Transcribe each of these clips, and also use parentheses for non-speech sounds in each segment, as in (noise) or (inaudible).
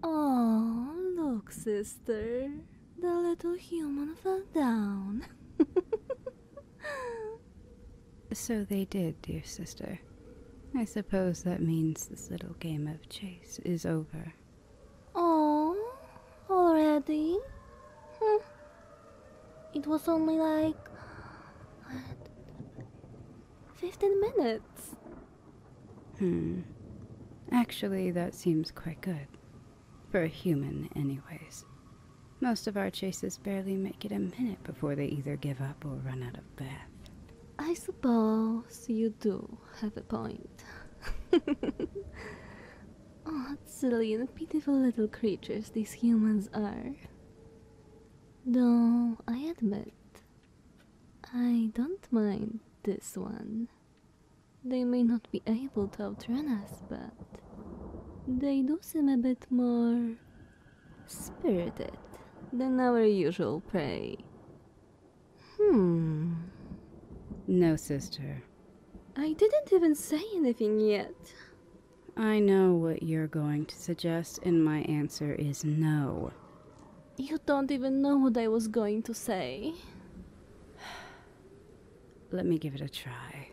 oh, look, sister. The little human fell down. (laughs) so they did, dear sister. I suppose that means this little game of chase is over. Oh, already? Hmm. It was only like. What? 15 minutes. Hmm. Actually, that seems quite good. For a human, anyways. Most of our chases barely make it a minute before they either give up or run out of breath. I suppose you do have a point. (laughs) oh, silly and pitiful little creatures these humans are. Though, I admit, I don't mind this one. They may not be able to outrun us, but they do seem a bit more spirited than our usual prey. Hmm. No, sister. I didn't even say anything yet. I know what you're going to suggest, and my answer is no. You don't even know what I was going to say. Let me give it a try.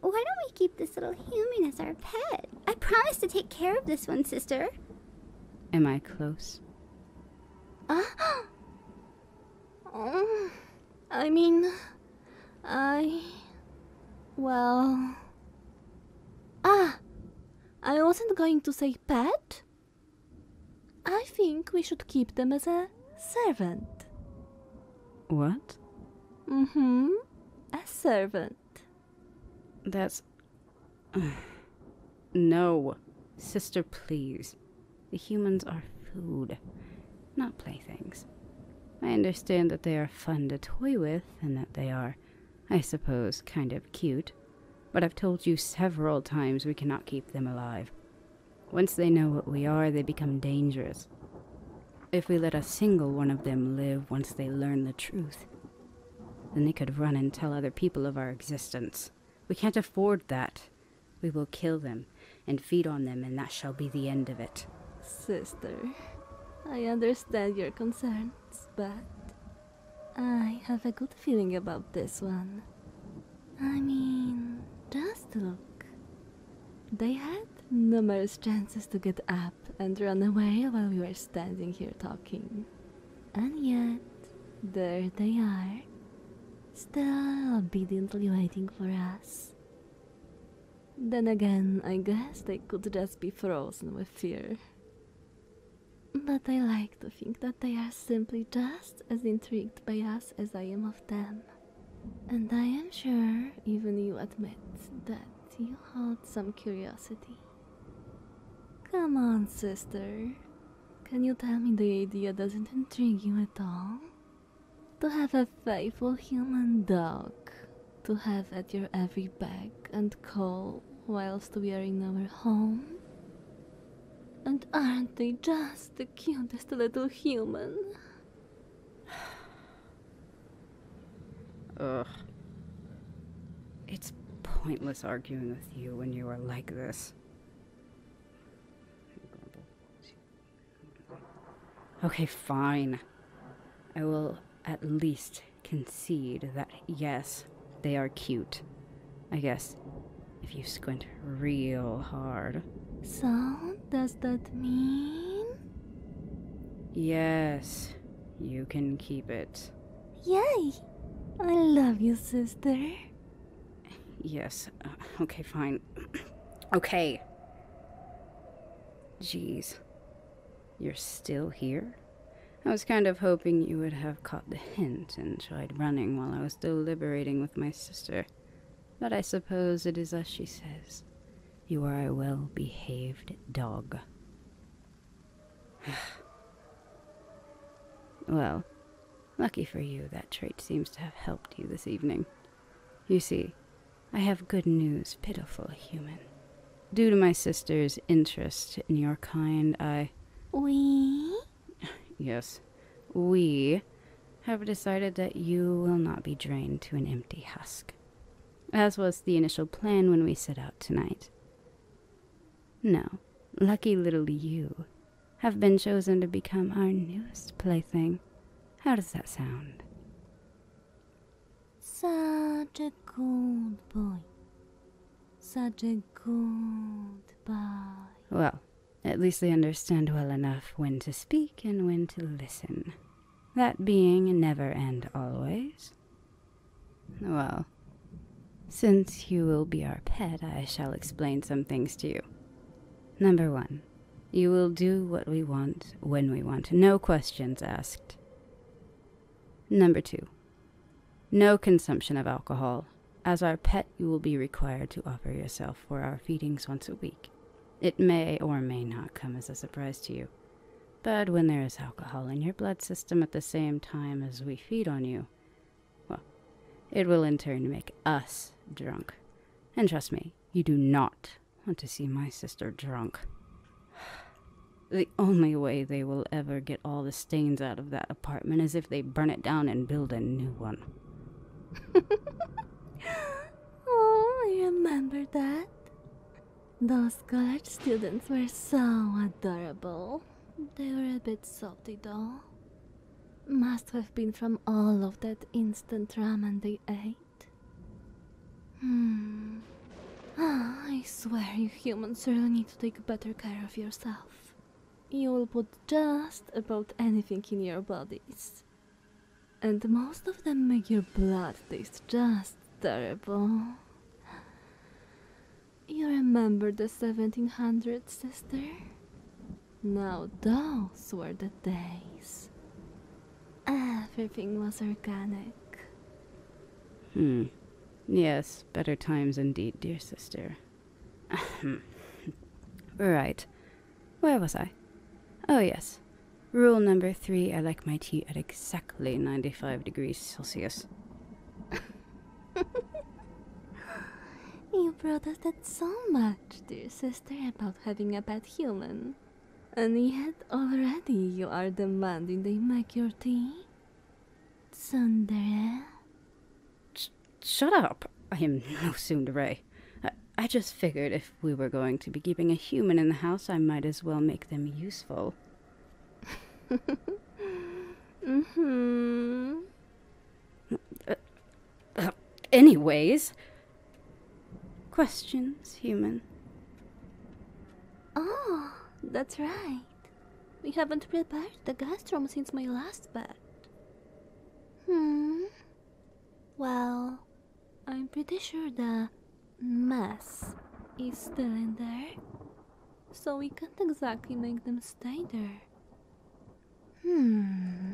Why don't we keep this little human as our pet? I promise to take care of this one, sister. Am I close? Uh, (gasps) oh, I mean, I. Well. Ah! I wasn't going to say pet, I think we should keep them as a servant. What? Mm hmm. A servant. That's. (sighs) no. Sister, please. The humans are food, not playthings. I understand that they are fun to toy with and that they are, I suppose, kind of cute, but I've told you several times we cannot keep them alive. Once they know what we are, they become dangerous. If we let a single one of them live once they learn the truth, then they could run and tell other people of our existence. We can't afford that. We will kill them and feed on them, and that shall be the end of it. Sister, I understand your concerns, but I have a good feeling about this one. I mean, just look. They had numerous chances to get up and run away while we were standing here talking. And yet, there they are, still obediently waiting for us. Then again, I guess they could just be frozen with fear. But I like to think that they are simply just as intrigued by us as I am of them. And I am sure even you admit that you hold some curiosity. Come on, sister. Can you tell me the idea doesn't intrigue you at all? To have a faithful human dog, to have at your every beck and call whilst we are in our home? And aren't they just the cutest little human? (sighs) Ugh. It's pointless arguing with you when you are like this. Okay, fine. I will at least concede that yes, they are cute. I guess. If you squint real hard. So, does that mean? Yes. You can keep it. Yay! I love you, sister. Yes. Uh, okay, fine. (clears throat) okay. Jeez. You're still here? I was kind of hoping you would have caught the hint and tried running while I was deliberating with my sister, but I suppose it is as she says you are a well behaved dog. (sighs) well, lucky for you, that trait seems to have helped you this evening. You see, I have good news, pitiful human. Due to my sister's interest in your kind, I. We yes, we have decided that you will not be drained to an empty husk, as was the initial plan when we set out tonight. No, lucky little you have been chosen to become our newest plaything. How does that sound? Such a good boy. Such a good boy. Well, at least they understand well enough when to speak and when to listen. That being never and always. Well, since you will be our pet, I shall explain some things to you. Number one, you will do what we want when we want, no questions asked. Number two, no consumption of alcohol. As our pet, you will be required to offer yourself for our feedings once a week. It may or may not come as a surprise to you. But when there is alcohol in your blood system at the same time as we feed on you, well, it will in turn make us drunk. And trust me, you do not want to see my sister drunk. The only way they will ever get all the stains out of that apartment is if they burn it down and build a new one. (laughs) oh, I remember that. Those college students were so adorable. They were a bit salty though. Must have been from all of that instant ramen they ate. Hmm. Ah, I swear you humans really need to take better care of yourself. You'll put just about anything in your bodies. And most of them make your blood taste just terrible. You remember the 1700s, sister? Now those were the days. Everything was organic. Hmm, Yes, better times indeed, dear sister. (laughs) right. Where was I? Oh, yes. Rule number three I like my tea at exactly 95 degrees Celsius. you brought that so much, dear sister, about having a pet human. And yet already you are demanding they make your tea? Tsundere? shut up! I am no tsundere. I, just figured if we were going to be keeping a human in the house, I might as well make them useful. mm hmm. anyways, questions, human? Oh, that's right. We haven't prepared the guest room since my last bet. Hmm. Well, I'm pretty sure the mess is still in there, so we can't exactly make them stay there. Hmm.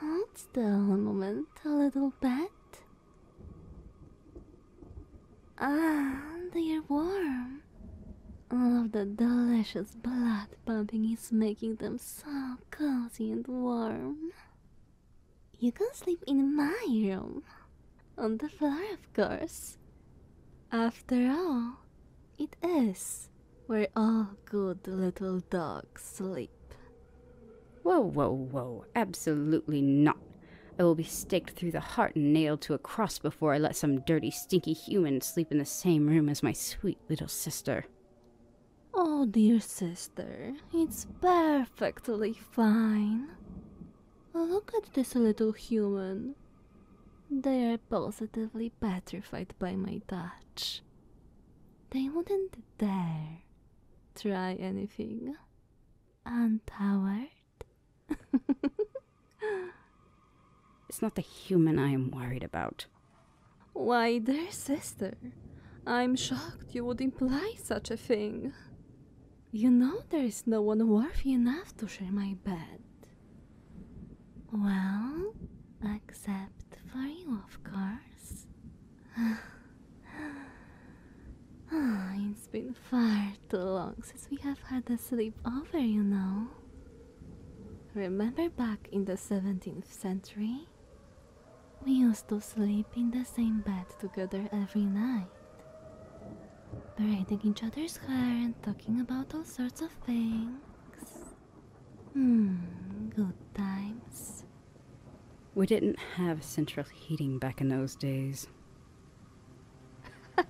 Hold still moment, a little bit. Ah, they are warm. All of that delicious blood pumping is making them so cozy and warm. You can sleep in my room. On the floor, of course. After all, it is where all good little dogs sleep. Whoa, whoa, whoa. Absolutely not. I will be staked through the heart and nailed to a cross before I let some dirty, stinky human sleep in the same room as my sweet little sister. Oh, dear sister, it's perfectly fine. Look at this little human. They are positively petrified by my touch. They wouldn't dare try anything. And our (laughs) it's not the human I am worried about. Why, dear sister, I'm shocked you would imply such a thing. You know there is no one worthy enough to share my bed. Well, except for you, of course. (sighs) Ah, it's been far too long since we have had a sleepover, you know. Remember back in the 17th century? We used to sleep in the same bed together every night, braiding each other's hair and talking about all sorts of things. Hmm, good times. We didn't have central heating back in those days. (laughs)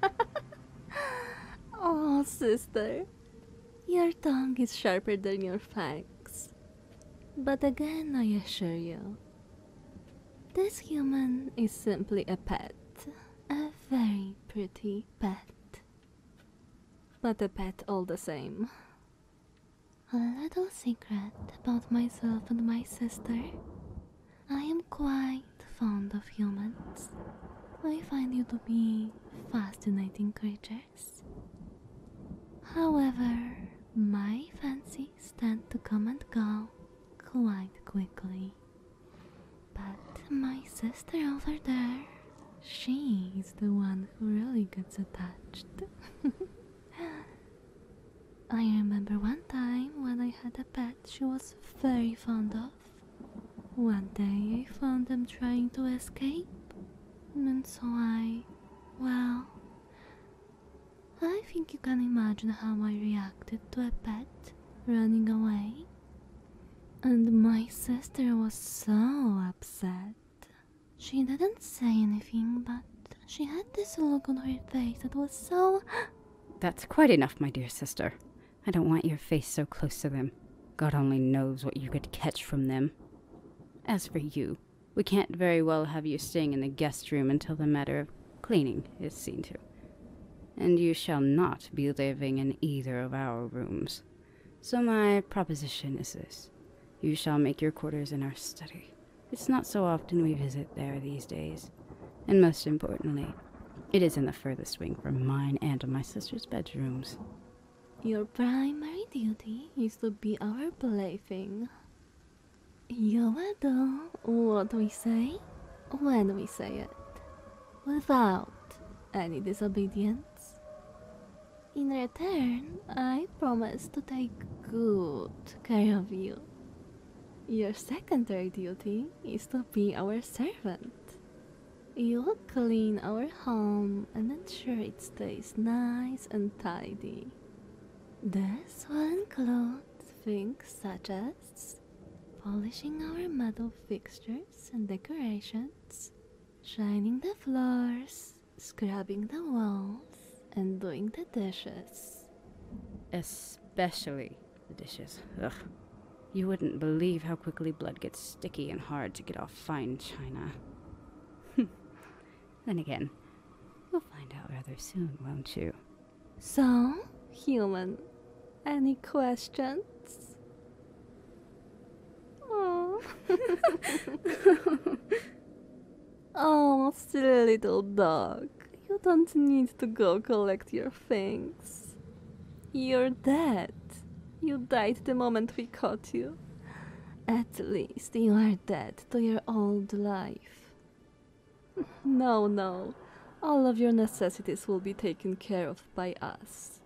oh, sister, your tongue is sharper than your fangs. But again, I assure you, this human is simply a pet, a very pretty pet. But a pet all the same. A little secret about myself and my sister. I am quite fond of humans. I find you to be fascinating creatures. However, my fancies tend to come and go quite quickly. But my sister over there, she is the one who really gets attached. (laughs) I remember one time when I had a pet she was very fond of. One day I found them trying to escape, and so I. well. I think you can imagine how I reacted to a pet running away. And my sister was so upset. She didn't say anything, but she had this look on her face that was so. (gasps) That's quite enough, my dear sister. I don't want your face so close to them. God only knows what you could catch from them. As for you, we can't very well have you staying in the guest room until the matter of cleaning is seen to. And you shall not be living in either of our rooms. So, my proposition is this you shall make your quarters in our study. It's not so often we visit there these days. And most importantly, it is in the furthest wing from mine and my sister's bedrooms. Your primary duty is to be our plaything. You will do what we say when we say it, without any disobedience. In return, I promise to take good care of you. Your secondary duty is to be our servant. You'll clean our home and ensure it stays nice and tidy. This will include things such as polishing our metal fixtures and decorations, shining the floors, scrubbing the walls, and doing the dishes. Especially the dishes. Ugh. You wouldn't believe how quickly blood gets sticky and hard to get off fine china. (laughs) then again, you'll find out rather soon, won't you? So, human, any questions? Oh. (laughs) (laughs) Oh, silly little dog. You don't need to go collect your things. You're dead. You died the moment we caught you. At least you are dead to your old life. (laughs) no, no. All of your necessities will be taken care of by us.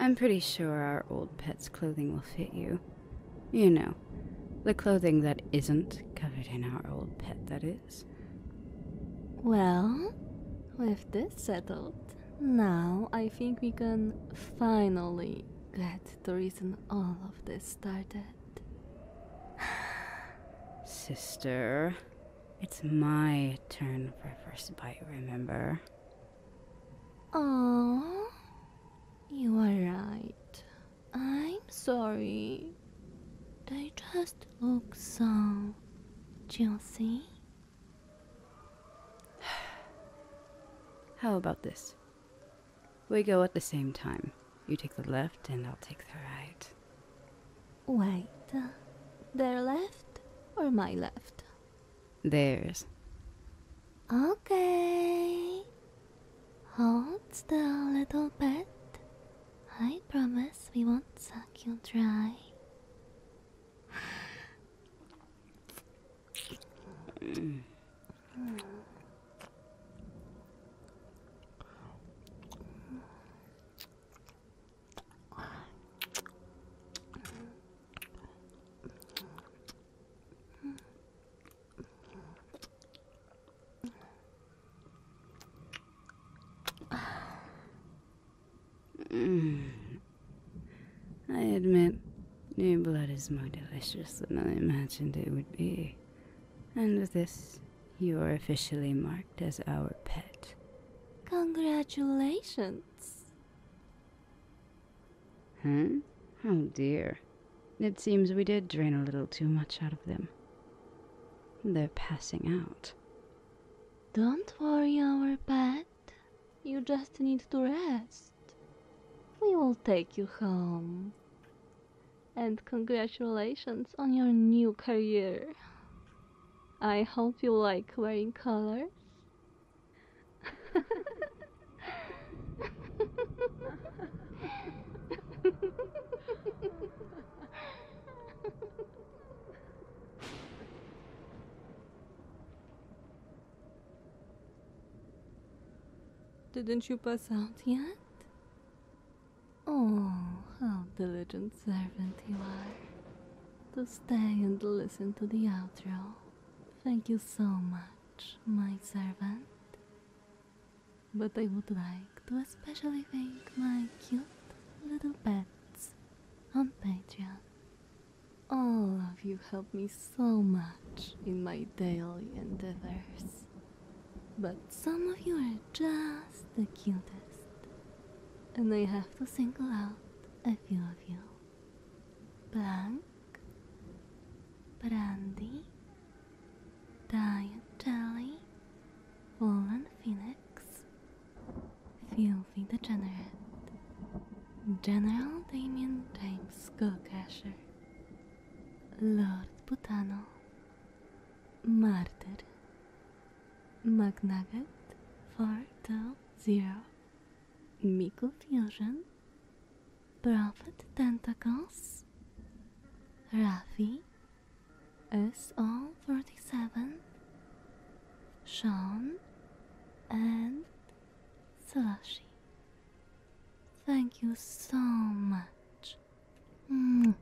I'm pretty sure our old pet's clothing will fit you. You know, the clothing that isn't covered in our old pet, that is. Well, with this settled, now I think we can finally get the reason all of this started. (sighs) Sister, it's my turn for first bite, remember? Oh, you are right. I'm sorry. They just look so juicy. (sighs) How about this? We go at the same time. You take the left and I'll take the right. Wait. Uh, their left or my left? Theirs. Okay. Hold the little bit. I promise we won't suck you dry. Mm. (sighs) I admit, new blood is more delicious than I imagined it would be. And with this, you are officially marked as our pet. Congratulations! Huh? Hmm? Oh dear. It seems we did drain a little too much out of them. They're passing out. Don't worry, our pet. You just need to rest. We will take you home. And congratulations on your new career. I hope you like wearing colors. Didn't you pass out yet? Oh, how diligent servant you are. To stay and listen to the outro. Thank you so much my servant. But I would like to especially thank my cute little pets on Patreon. All of you help me so much in my daily endeavors. But some of you are just the cutest. And I have to single out a few of you. Blank, Brandy, Diet Jelly, Woolen Phoenix, Filthy the General General Damien James Goldcasher, Lord Putano, Martyr, McNugget Zero. Miku Fusion, Prophet Tentacles, Rafi, SO37, Sean, and Slushy. Thank you so much. Mm.